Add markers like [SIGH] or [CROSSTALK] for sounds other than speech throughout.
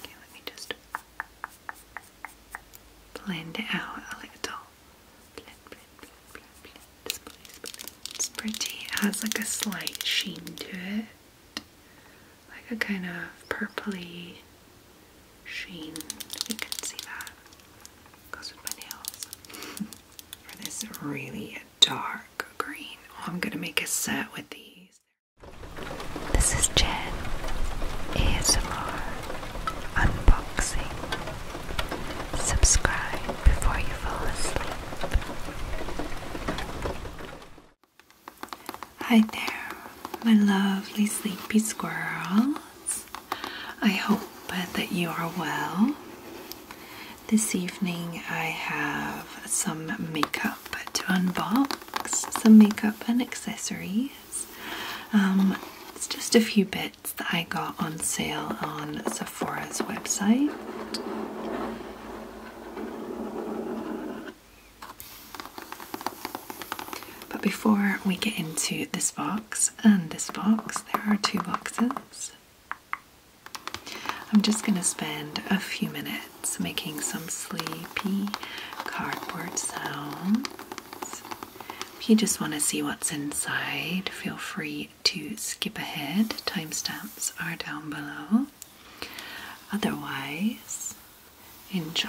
Okay, let me just blend it out a little. It's pretty, It has like a slight sheen to it, like a kind of purply sheen. You can see that. Goes with my nails. [LAUGHS] this really dark green. Oh, I'm gonna make a set with these. This is Jen ASMR Unboxing. Subscribe before you fall asleep. Hi there, my lovely sleepy squirrels. I hope that you are well. This evening I have some makeup to unbox, some makeup and accessories. Um, it's just a few bits that I got on sale on Sephora's website. But before we get into this box and this box, there are two boxes. I'm just going to spend a few minutes making some sleepy cardboard sounds. If you just want to see what's inside, feel free to skip ahead. Timestamps are down below. Otherwise, enjoy.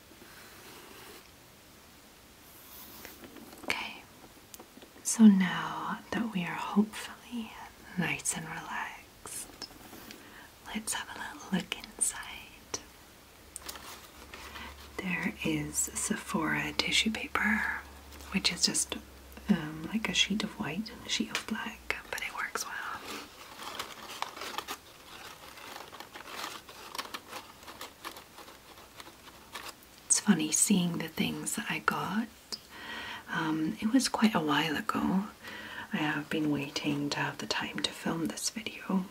Okay, so now that we are hopefully nice and relaxed, let's have a little look inside. There is Sephora tissue paper, which is just um, like a sheet of white and a sheet of black, but it works well. It's funny seeing the things that I got. Um, it was quite a while ago. I have been waiting to have the time to film this video.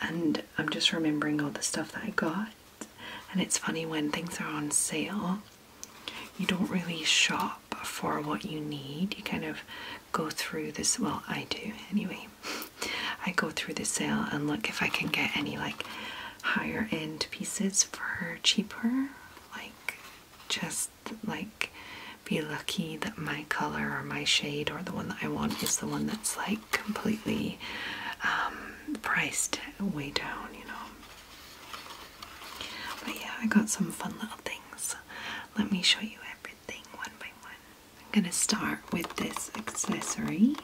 And I'm just remembering all the stuff that I got. And it's funny when things are on sale, you don't really shop for what you need. You kind of go through this, well, I do anyway. I go through the sale and look if I can get any like higher end pieces for cheaper. Like just like be lucky that my color or my shade or the one that I want is the one that's like completely um, priced way down, you know. But yeah, I got some fun little things. Let me show you everything one by one. I'm gonna start with this accessory.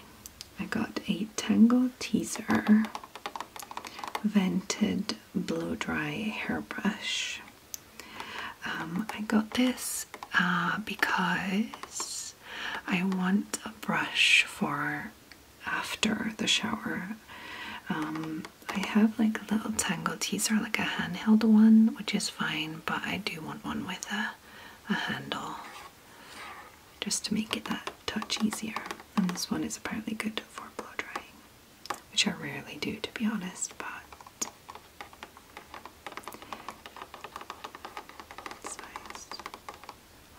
I got a Tangle Teaser Vented Blow Dry Hairbrush. Um, I got this uh, because I want a brush for after the shower. Um, I have like a little Tangle Teaser, like a handheld one, which is fine, but I do want one with a a handle just to make it that touch easier. And this one is apparently good for blow drying, which I rarely do to be honest, but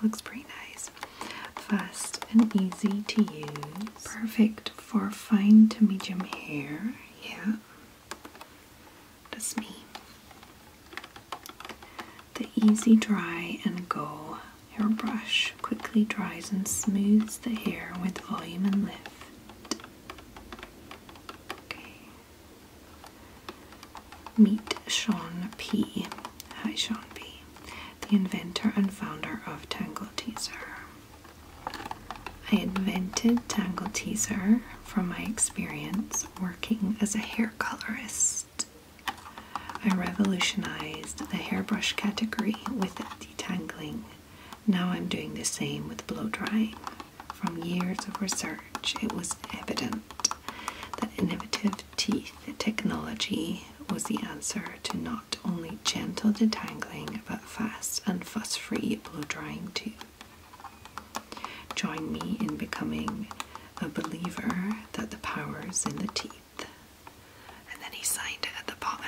Looks pretty nice. Fast and easy to use. Perfect for fine to medium hair. Yeah. That's me. The Easy Dry and Go hairbrush quickly dries and smooths the hair with volume and lift. Okay. Meet Sean P. Hi, Sean P. The inventor and founder of Tangle Teaser. I invented Tangle Teaser from my experience as a hair colorist. I revolutionized the hairbrush category with detangling. Now I'm doing the same with blow drying. From years of research, it was evident that innovative teeth technology was the answer to not only gentle detangling but fast and fuss free blow drying too. Join me in becoming a believer that the power's in the teeth. And then he signed it at the bottom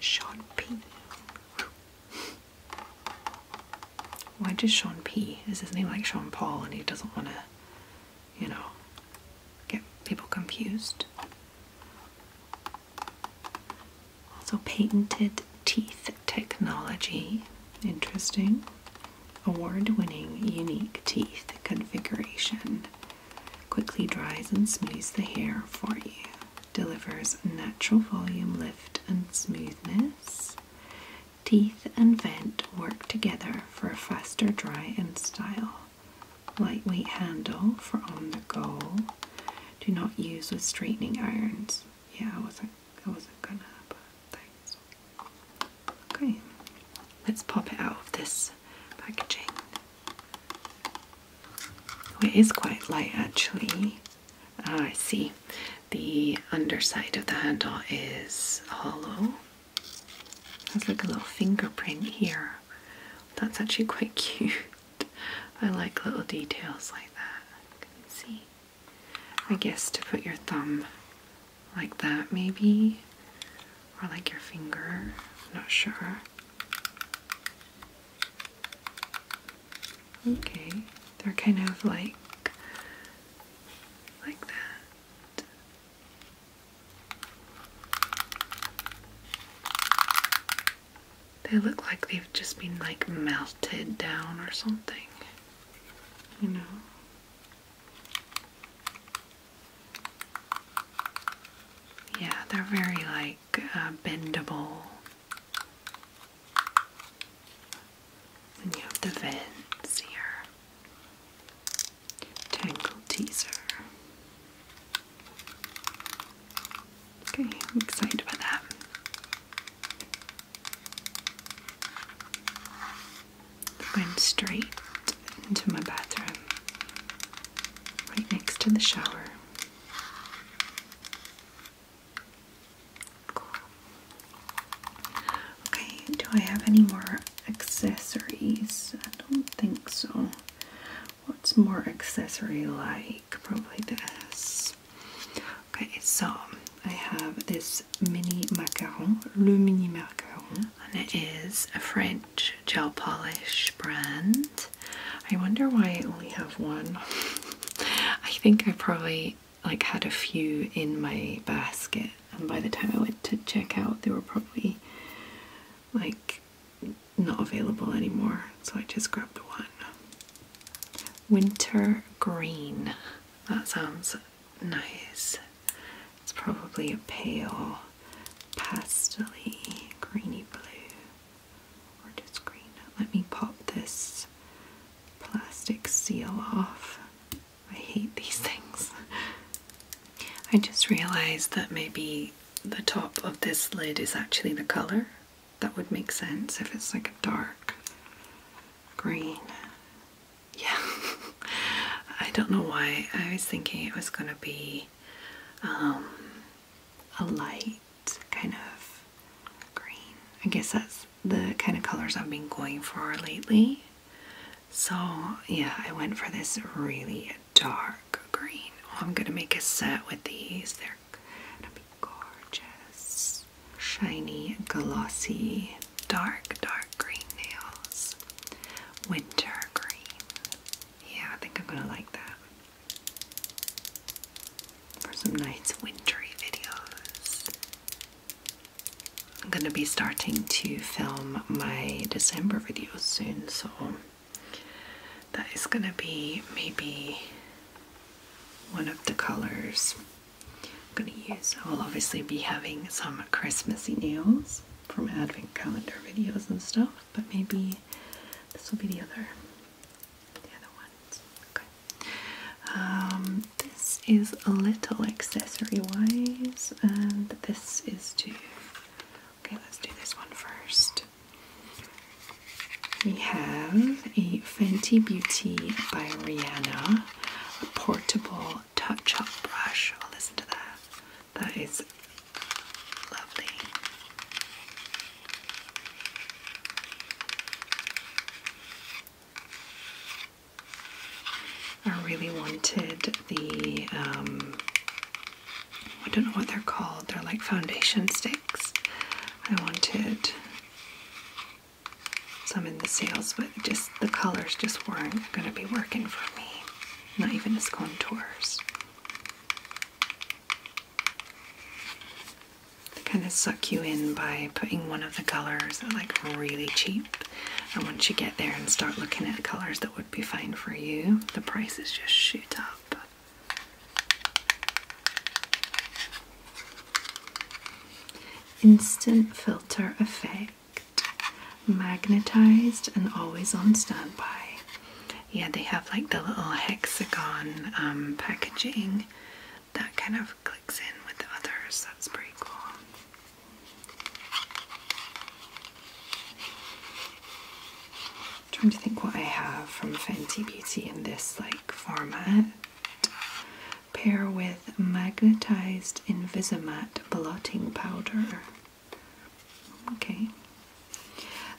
Sean P. Why does Sean P? Is his name like Sean Paul and he doesn't want to, you know, get people confused? Also, patented teeth technology. Interesting. Award winning, unique teeth configuration. Quickly dries and smooths the hair for you. Delivers natural volume, lift, and smoothness. Teeth and vent work together for a faster dry and style. Lightweight handle for on the go. Do not use with straightening irons. Yeah, I wasn't I wasn't gonna, but thanks. Okay, let's pop it out of this packaging. Oh, it is quite light actually. Ah, I see. The underside of the handle is hollow. There's like a little fingerprint here. That's actually quite [LAUGHS] cute. I like little details like that. see. I guess to put your thumb like that, maybe, or like your finger, not sure. Okay, they're kind of like like that. They look like they've just been like melted down or something. You know? Yeah, they're very like uh, bendable. you have the vents here. Tangle teaser. Okay, I'm excited about that went straight into my bathroom, right next to the shower. Okay, do I have any more accessories? I don't think so. What's more accessory like? probably this. Okay, so I have this mini macaron, le mini macaron, and it is a French gel polish brand. I wonder why I only have one. [LAUGHS] I think I probably like had a few in my basket, and by the time I went to check out, they were probably like not available anymore, so I just grabbed one winter green. That sounds nice. It's probably a pale pastely greeny blue or just green. Let me pop this plastic seal off. I hate these [LAUGHS] things. I just realized that maybe the top of this lid is actually the color that would make sense if it's like a dark green. Yeah, [LAUGHS] I don't know why. I was thinking it was gonna be um, a light kind of green. I guess that's the kind of colors I've been going for lately. So yeah, I went for this really dark green. Oh, I'm gonna make a set with these. they gorgeous. Shiny, glossy, dark, dark green nails. Winter green. Yeah, I think I'm gonna like that. For some nice wintry videos. I'm gonna be starting to film my December videos soon, so that is gonna be maybe one of the colors. I'm going to use, I will obviously be having some Christmassy nails from advent calendar videos and stuff, but maybe this will be the other, the other ones. Okay. Um, this is a little accessory wise, and this is to, okay, let's do this one first. We have a Fenty Beauty by Rihanna, a portable touch up brush. i oh, listen to that. That is lovely. I really wanted the, um, I don't know what they're called, they're like foundation sticks. I wanted some in the sales, but just the colors just weren't going to be working for me, not even as contours. They kind of suck you in by putting one of the colors like really cheap, and once you get there and start looking at colors that would be fine for you, the prices just shoot up. Instant filter effect. Magnetized and always on standby. Yeah, they have like the little hexagon um, packaging that kind of clicks in with others. That's pretty cool. trying to think what I have from Fenty Beauty in this like format pair with magnetized Invisimat blotting powder. Okay,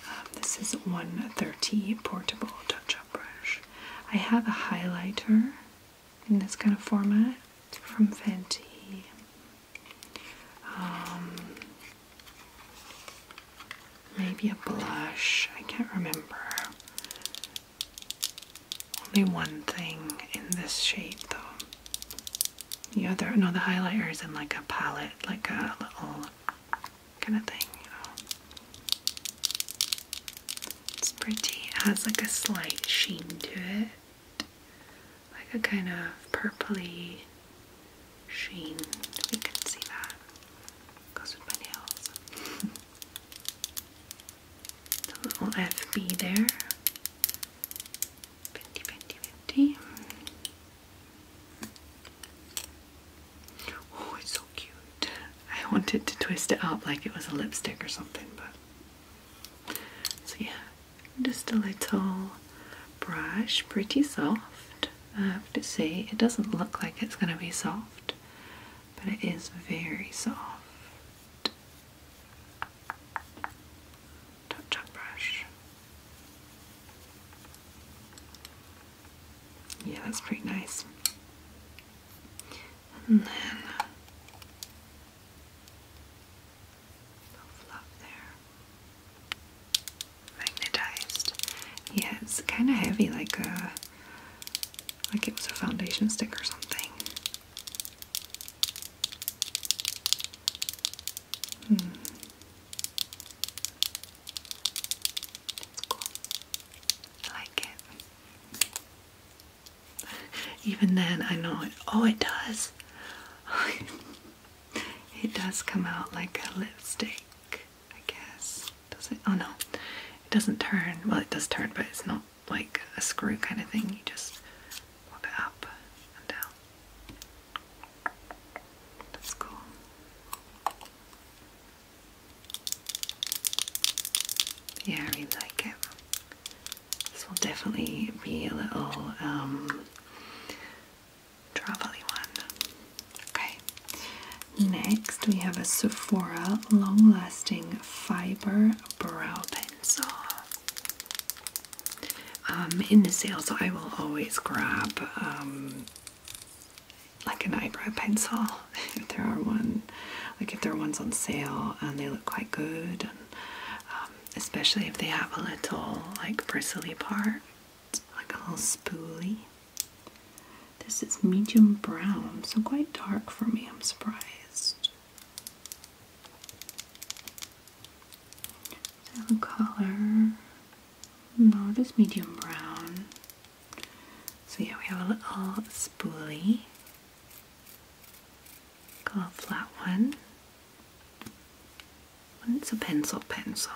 um, this is 130 portable touch up brush. I have a highlighter in this kind of format from Fenty. Um, maybe a blush, I can't remember. Only one thing in this shape though. The other, no, the highlighter is in like a palette, like a little kind of thing, you know. It's pretty, it has like a slight sheen to it, like a kind of purply sheen, we can see that. Goes with my nails. the little FB there. 50, 50, 50. Oh, it's so cute. I wanted to twist it up like it was a lipstick or something, but. So, yeah, just a little brush, pretty soft. I have to say, it doesn't look like it's going to be soft but it is very soft. Touch up brush. Yeah, that's pretty nice. And then fluff there. Magnetized. Yeah, it's kind of heavy, like a like it was a foundation stick or something. Hmm. cool. I like it. [LAUGHS] Even then, I know it. Oh, it does. [LAUGHS] it does come out like a lipstick. I guess. Does it? Oh no. It doesn't turn. Well, it does turn, but it's not like a screw kind of thing. You just pop it up and down. That's cool. Yeah, I really like it. This will definitely be a little travely um, one. Okay, next we have a Sephora Long Lasting Fiber Brow Pencil. Um, in the sales, I will always grab um, like an eyebrow pencil [LAUGHS] if there are one, like if there are ones on sale and they look quite good, and um, especially if they have a little like bristly part, like a little spoolie. This is medium brown, so quite dark for me, I'm surprised. color, no, just medium brown. So yeah, we have a little spoolie. Got a flat one. it's a pencil pencil.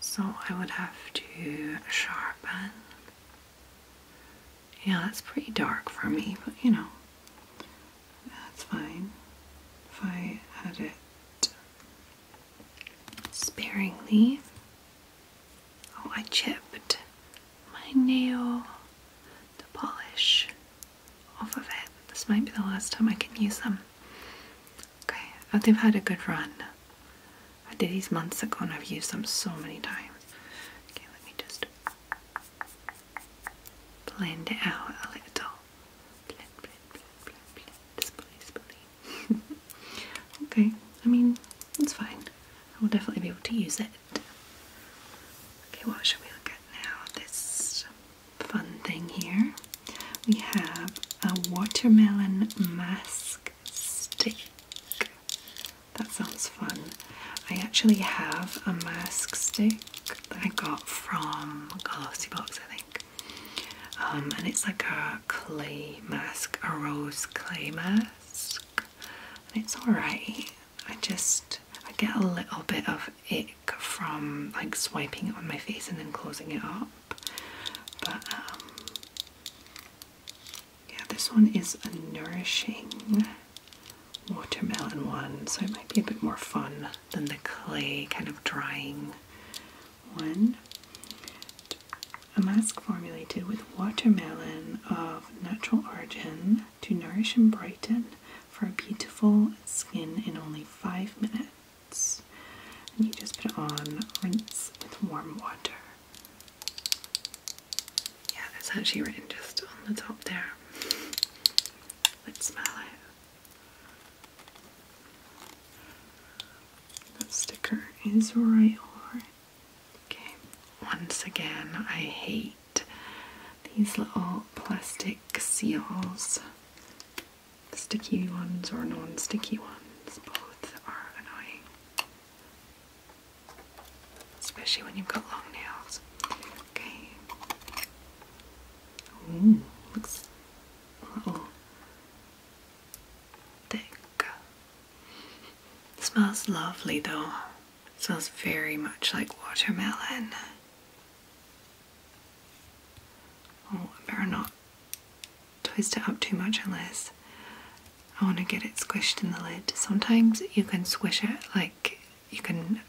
So I would have to sharpen. Yeah, that's pretty dark for me, but you know, that's fine. If I add it sparingly. Oh, I chipped my nail, polish off of it. This might be the last time I can use them. Okay, oh, they've had a good run. I did these months ago and I've used them so many times. Okay, let me just blend it out a little. [LAUGHS] okay, I mean, it's fine. I will definitely be able to use it. Okay, what should we look at now? This fun thing here. We have a watermelon mask stick. That sounds fun. I actually have a mask stick that I got from Box, I think. Um, and it's like a clay mask, a rose clay mask. it's alright. I just I get a little bit of ick from like swiping it on my face and then closing it up. But um, yeah, this one is a nourishing watermelon one, so it might be a bit more fun than the clay kind of drying one. A mask formulated with watermelon of natural origin to nourish and brighten for a beautiful skin in only five minutes. you just put it on, rinse with warm water. Yeah, that's actually written just on the top there. Let's smell it. That sticker is right over it. Okay, once again, I hate these little plastic seals. Sticky ones or non sticky ones, both are annoying. Especially when you've got long nails. Okay. Ooh, looks a little smells lovely though. smells very much like watermelon. Oh, better not twist it up too much unless I want to get it squished in the lid. Sometimes you can squish it like you can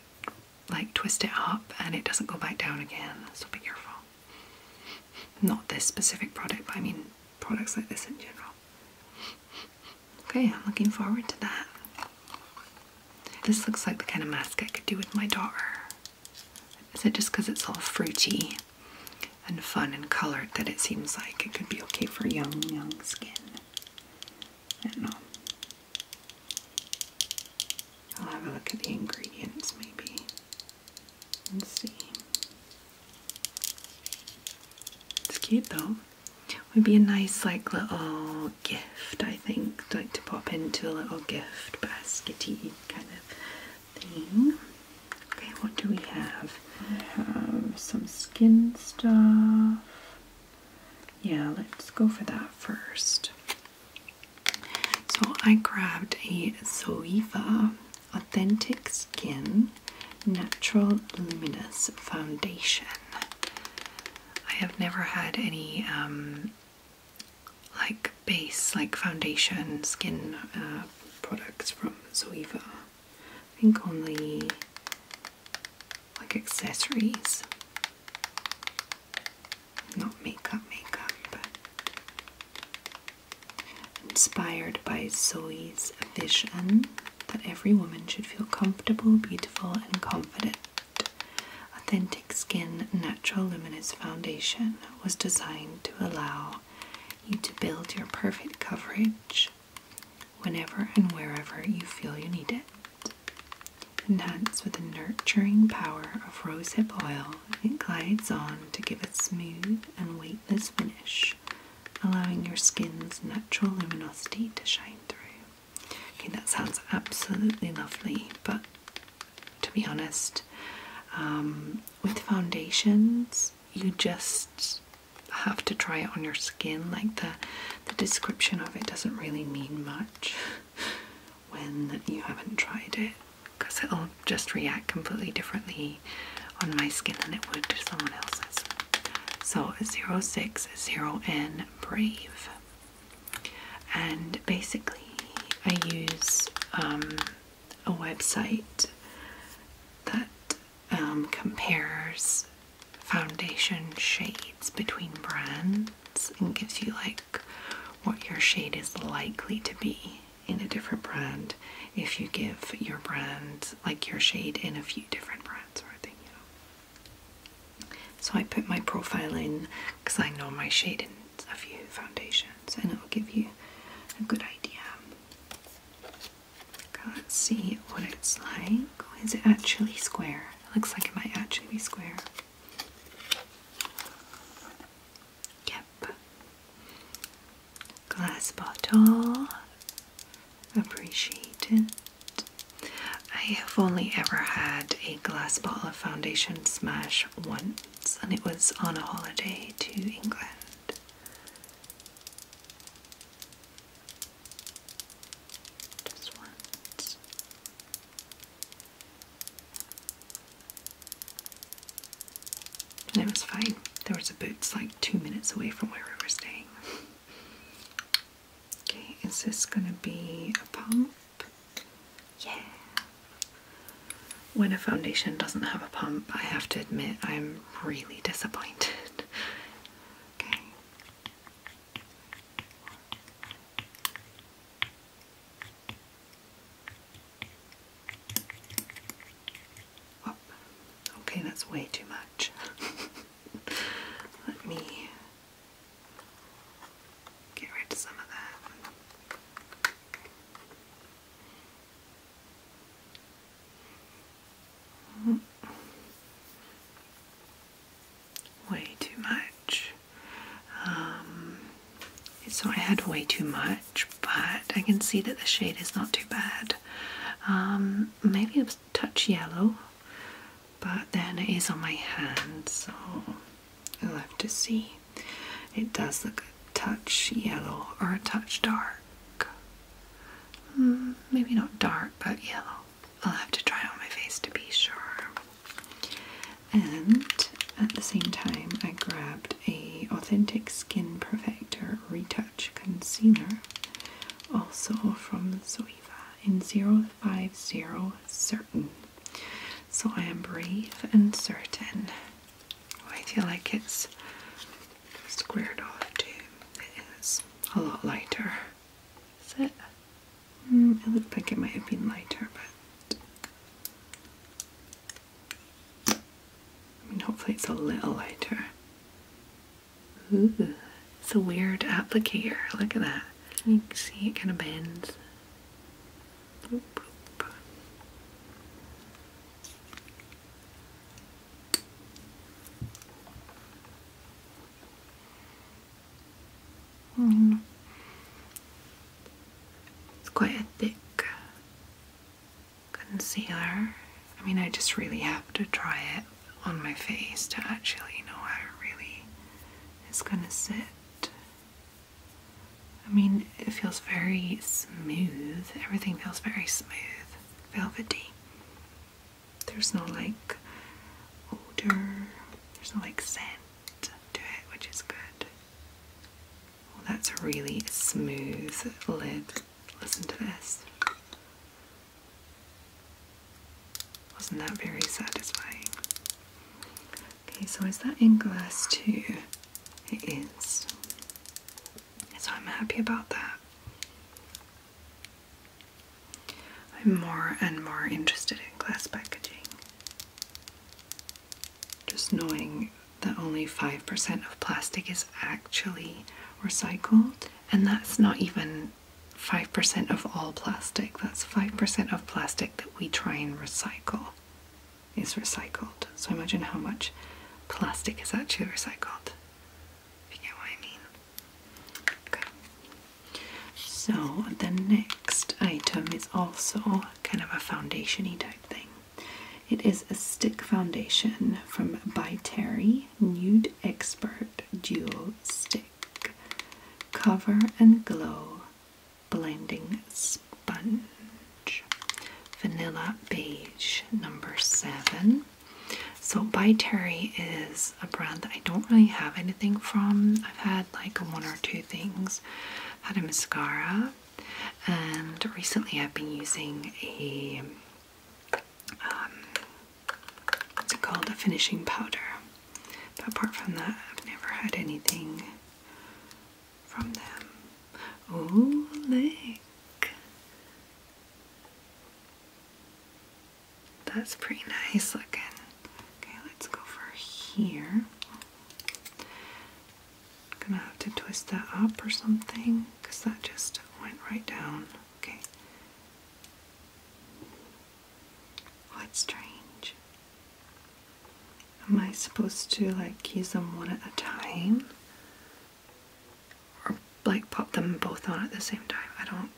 like twist it up and it doesn't go back down again, so be careful. Not this specific product, but I mean products like this in general. Okay, I'm looking forward to that. This looks like the kind of mask I could do with my daughter. Is it just because it's all fruity? and fun and colored that it seems like it could be okay for young, young skin. I don't know. I'll have a look at the ingredients maybe and see. It's cute though. Would be a nice like little gift, I think, like to pop into a little gift baskety kind of theme. Okay, what do we have? I um, have some skin stuff. Yeah, let's go for that first. So I grabbed a Zoeva Authentic Skin Natural Luminous Foundation. I have never had any um, like base, like foundation skin uh, products from Zoeva. I think only like accessories, not makeup, makeup, but inspired by Zoe's vision that every woman should feel comfortable, beautiful, and confident. Authentic Skin Natural Luminous Foundation was designed to allow you to build your perfect coverage whenever and wherever you feel you need it. Enhance with the nurturing power of rosehip oil, it glides on to give a smooth and weightless finish, allowing your skin's natural luminosity to shine through. Okay, that sounds absolutely lovely, but to be honest, um, with foundations, you just have to try it on your skin. Like the the description of it doesn't really mean much [LAUGHS] when you haven't tried it, because it'll just react completely differently on my skin than it would to someone else's. So 060N Brave, and basically I use um, a website that um, compares foundation shades between brands and gives you like what your shade is likely to be in a different brand if you give your brand like your shade in a few different brands or thing so I put my profile in because I know my shade a few foundations and it will give you a good idea. Okay, let's see what it's like. Oh, is it actually square? It looks like it might actually be square. Yep. Glass bottle. Appreciated. I have only ever had a glass bottle of foundation smash once, and it was on a holiday to England. Just once. And was fine. There was a boots like two minutes away from where we were staying. Okay, is this gonna be a pump? Yeah, when a foundation doesn't have a pump, I have to admit I'm really disappointed. [LAUGHS] okay. Okay, that's way too much. [LAUGHS] Let me get rid of some of that. Way too much. Um, it's had way too much, but I can see that the shade is not too bad. Um, maybe a touch yellow, but then it is on my hand, so I'll have to see. It does look a touch yellow or a touch dark. Hmm, maybe not dark, but yellow. I'll have to try on my face to be sure. And at the same time, I grabbed a authentic skin perfector retouch concealer, also from Zoeva in 050 certain. So I am brave and certain. I feel like it's squared off too. It is a lot lighter. Is it? Mm, it looked like it might have been lighter, but I mean, hopefully it's a little lighter. Ooh, it's a weird applicator. Look at that. You can see it kind of bends. It's quite thick concealer. I mean, I just really have to try it on my face to actually know how it really is going to sit. I mean, it feels very smooth. Everything feels very smooth, velvety. There's no like odor, there's no like scent to it, which is good. Oh, that's a really smooth lid. Listen to this. Wasn't that very satisfying? Okay, so is that in glass too? it is. So I'm happy about that. I'm more and more interested in glass packaging. Just knowing that only 5% of plastic is actually recycled, and that's not even 5% of all plastic, that's 5% of plastic that we try and recycle is recycled. So imagine how much plastic is actually recycled. If you get what I mean. Okay. So the next item is also kind of a foundationy type thing. It is a stick foundation from By Terry Nude Expert Duo Stick. Cover and Glow blending sponge, vanilla beige number seven. So By Terry is a brand that I don't really have anything from. I've had like one or two things. I had a mascara, and recently I've been using a um, what's it called? A finishing powder. But apart from that, I've never had anything from them. Oh, look! That's pretty nice looking. Okay, let's go for here. I'm gonna have to twist that up or something because that just went right down. Okay. What's strange? Am I supposed to like use them one at a time? Or like pop them both on at the same time? I don't.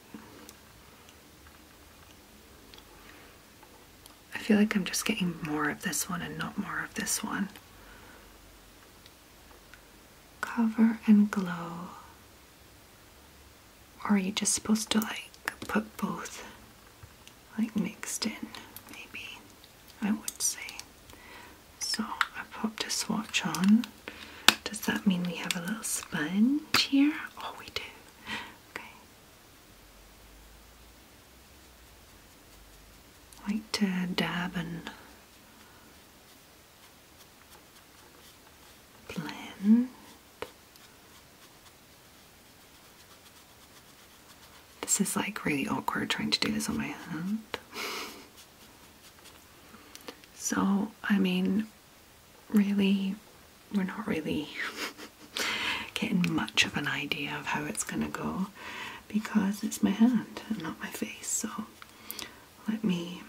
I feel like I'm just getting more of this one and not more of this one. Cover and glow. Or are you just supposed to like put both like mixed in, maybe I would say. So I popped a swatch on. Does that mean we have a little sponge here? Oh, we do. Okay. I like to dab and blend. This is like really awkward trying to do this on my hand. So, I mean, really, we're not really [LAUGHS] getting much of an idea of how it's going to go because it's my hand and not my face. So, let me.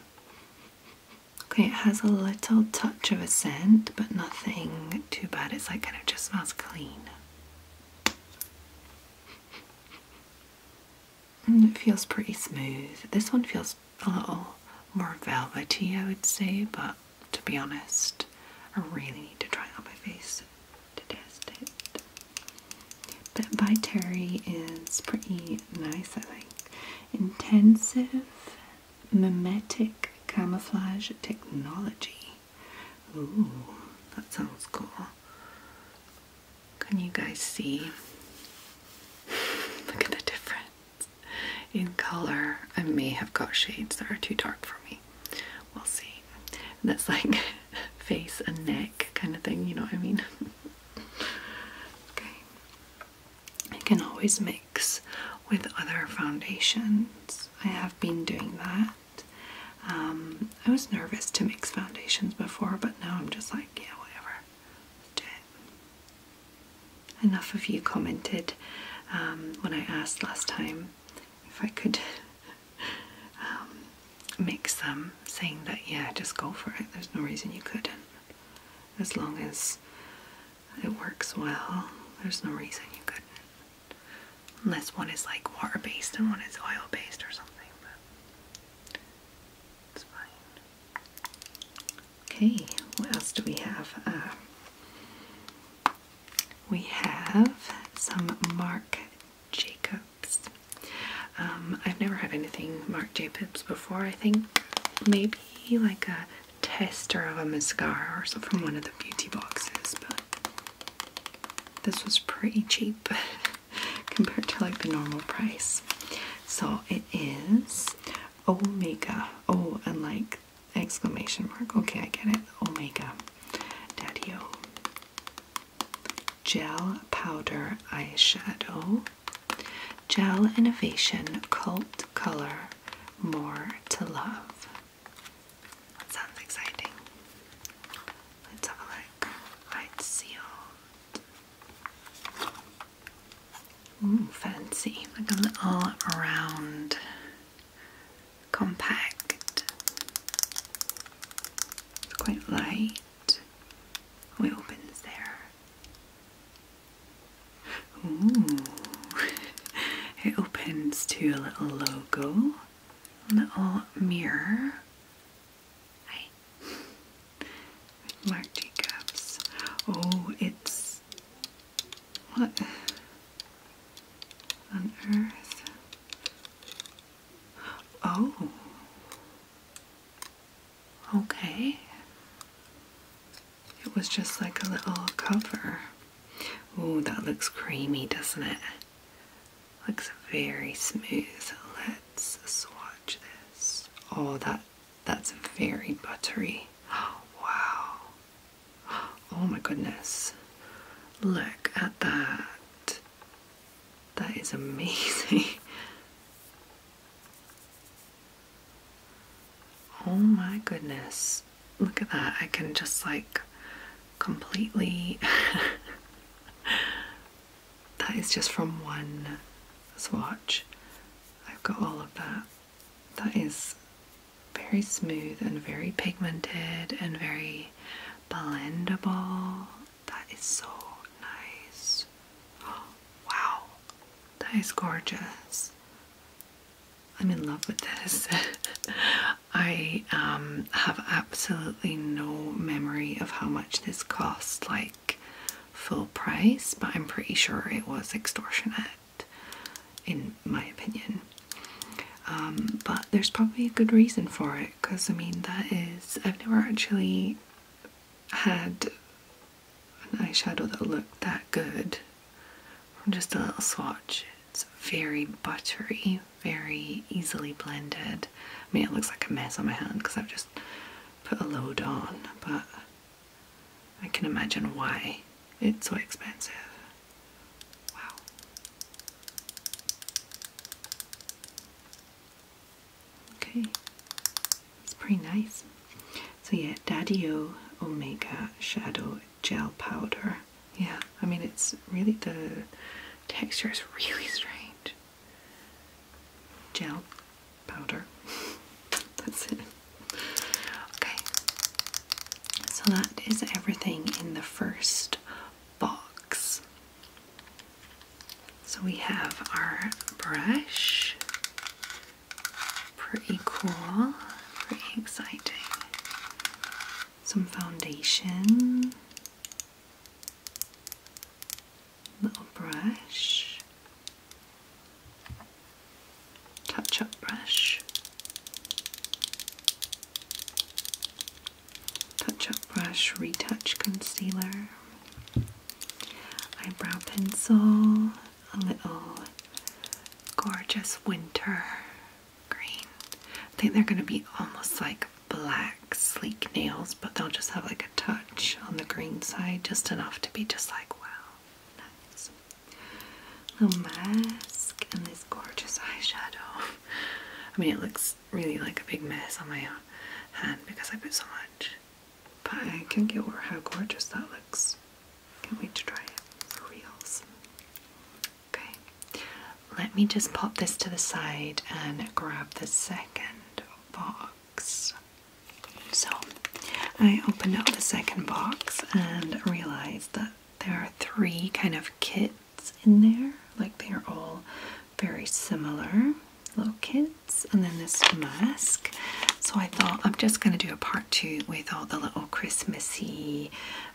Okay, it has a little touch of a scent, but nothing too bad. It's like kind of just smells clean. Mm, it feels pretty smooth. This one feels a little more velvety, I would say, but to be honest, I really need to try it on my face to test it. But by Terry is pretty nice, I think. Intensive mimetic camouflage technology. Ooh, that sounds cool. Can you guys see? [LAUGHS] Look at the difference in color. I may have got shades that are too dark for me. We'll see. And that's like [LAUGHS] face and neck kind of thing, you know what I mean? [LAUGHS] okay. I can always mix with other foundations. I have been doing that. Um, I was nervous to mix foundations before, but now I'm just like, yeah, whatever. do it. Enough of you commented um, when I asked last time if I could [LAUGHS] um, mix them, saying that, yeah, just go for it. There's no reason you couldn't. As long as it works well, there's no reason you couldn't. Unless one is like water based and one is oil based or something, but it's fine. Okay, what else do we have? Uh, we have some Marc Jacobs. Um, I've never had anything Marc Jacobs before, I think. Maybe like a tester of a mascara or something from one of the beauty boxes, but this was pretty cheap [LAUGHS] compared to like the normal price. So it is Omega. Oh, and like exclamation mark. Okay, I get it. Omega Daddy Gel powder eyeshadow. Gel Innovation Cult Color More to Love. That sounds exciting. Let's have a look. Right, sealed. fancy. Like a little round compact. It's quite light. Oh, it opens there. Ooh. [LAUGHS] it opens to a little logo little mirror. Hi. Marc Jacobs. Oh, it's what on earth? Oh. Okay. It was just like a little cover. Oh, that looks creamy, doesn't it? Looks very smooth. Let's swatch this. Oh, that that's very buttery. [GASPS] Wow. Oh my goodness. Look at that. That is amazing. [LAUGHS] Oh my goodness look at that. I can just like completely. [LAUGHS] that is just from one swatch. I've got all of that. That is very smooth and very pigmented and very blendable. That is so nice. [GASPS] wow, that is gorgeous. I'm in love with this. [LAUGHS] I um, have absolutely no memory of how much this cost, like full price, but I'm pretty sure it was extortionate, in my opinion. Um, but there's probably a good reason for it, because I mean, that is, I've never actually had an eyeshadow that looked that good from just a little swatch. It's very buttery, very easily blended. I mean, it looks like a mess on my hand because I've just put a load on, but I can imagine why it's so expensive. Wow. Okay, it's pretty nice. So yeah, Daddy Omega Shadow gel powder. Yeah, I mean, it's really the texture is really strange. Gel powder. [LAUGHS] That's it. Okay, so that is everything in the first box. So we have our brush. Pretty cool, pretty exciting some foundation, little brush, touch up brush, touch up brush, retouch concealer, eyebrow pencil, a little gorgeous winter green. I think they're going to be almost like black sleek nails, but they'll just have like a touch on the green side, just enough to be just like, wow, nice. Little mask and this gorgeous eyeshadow. I mean, it looks really like a big mess on my hand because I put so much, but I can't get over how gorgeous that looks. Can't wait to try it for reals. Okay, let me just pop this to the side and grab the second box. So, I opened up the second box and realized that there are three kind of kits in there, like they are all very similar little kits, and then this mask. So, I thought I'm just going to do a part two with all the little Christmassy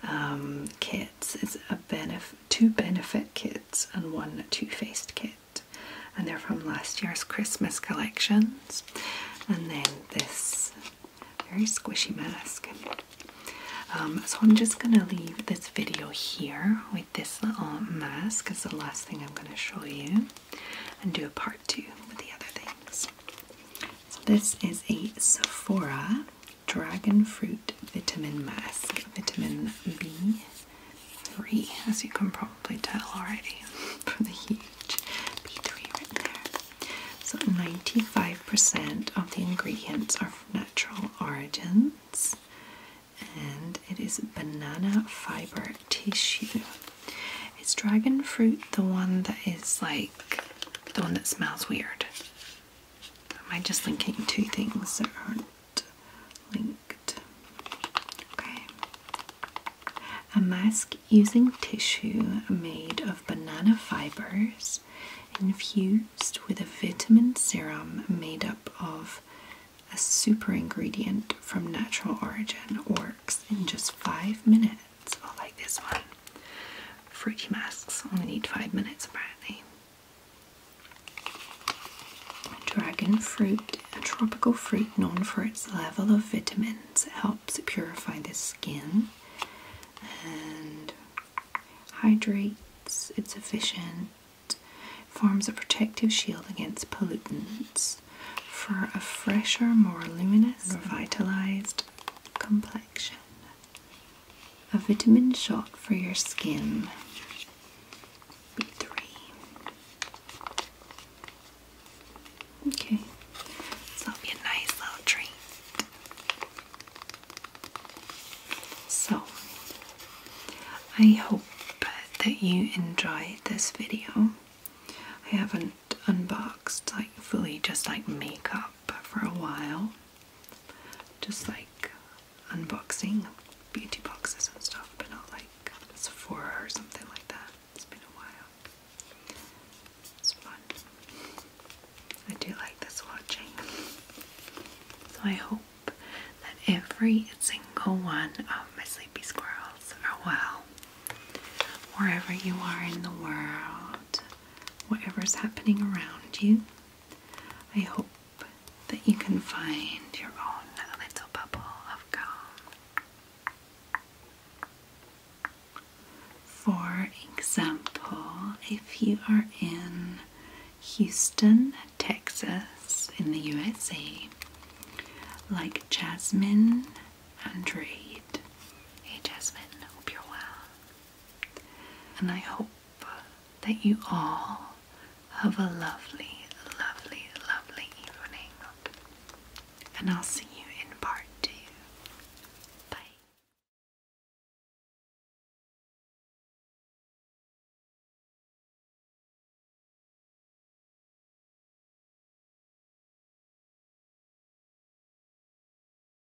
um, kits. It's a two benefit kits and one two-faced kit. And they're from last year's Christmas collections. And then this very squishy mask. Um, so I'm just going to leave this video here with this little mask as the last thing I'm going to show you and do a part two with the other things. So this is a Sephora dragon fruit vitamin mask, vitamin B3, as you can probably tell already [LAUGHS] from the huge B3 right there. So 95% of the ingredients are natural origins and it is banana fiber tissue. It's dragon fruit the one that is like the one that smells weird? Am I just linking two things that aren't linked? Okay. A mask using tissue made of banana fibers infused with a vitamin serum made up of a super ingredient from natural origin works in just five minutes. I like this one fruity masks. Only need five minutes apparently. Dragon fruit, a tropical fruit known for its level of vitamins. helps purify the skin and hydrates, it's efficient, forms a protective shield against pollutants for a fresher, more luminous, revitalized complexion a vitamin shot for your skin. B3. Okay, so it'll be a nice little treat. So, I hope that you enjoyed this video. I haven't unboxed like fully just like makeup for a while just like unboxing beauty boxes and stuff, but not like Sephora or something like that. It's been a while. It's fun. I do like this watching. So I hope that every single one of my sleepy squirrels are well. Wherever you are in the world, about whatever's happening around you. I hope that you can find your own little bubble of calm. For example, if you are in Houston, Texas, in the USA, like Jasmine and Reid. Hey Jasmine, hope you're well. And I hope that you all have a lovely, lovely, lovely evening. And I'll see you in part two. Bye.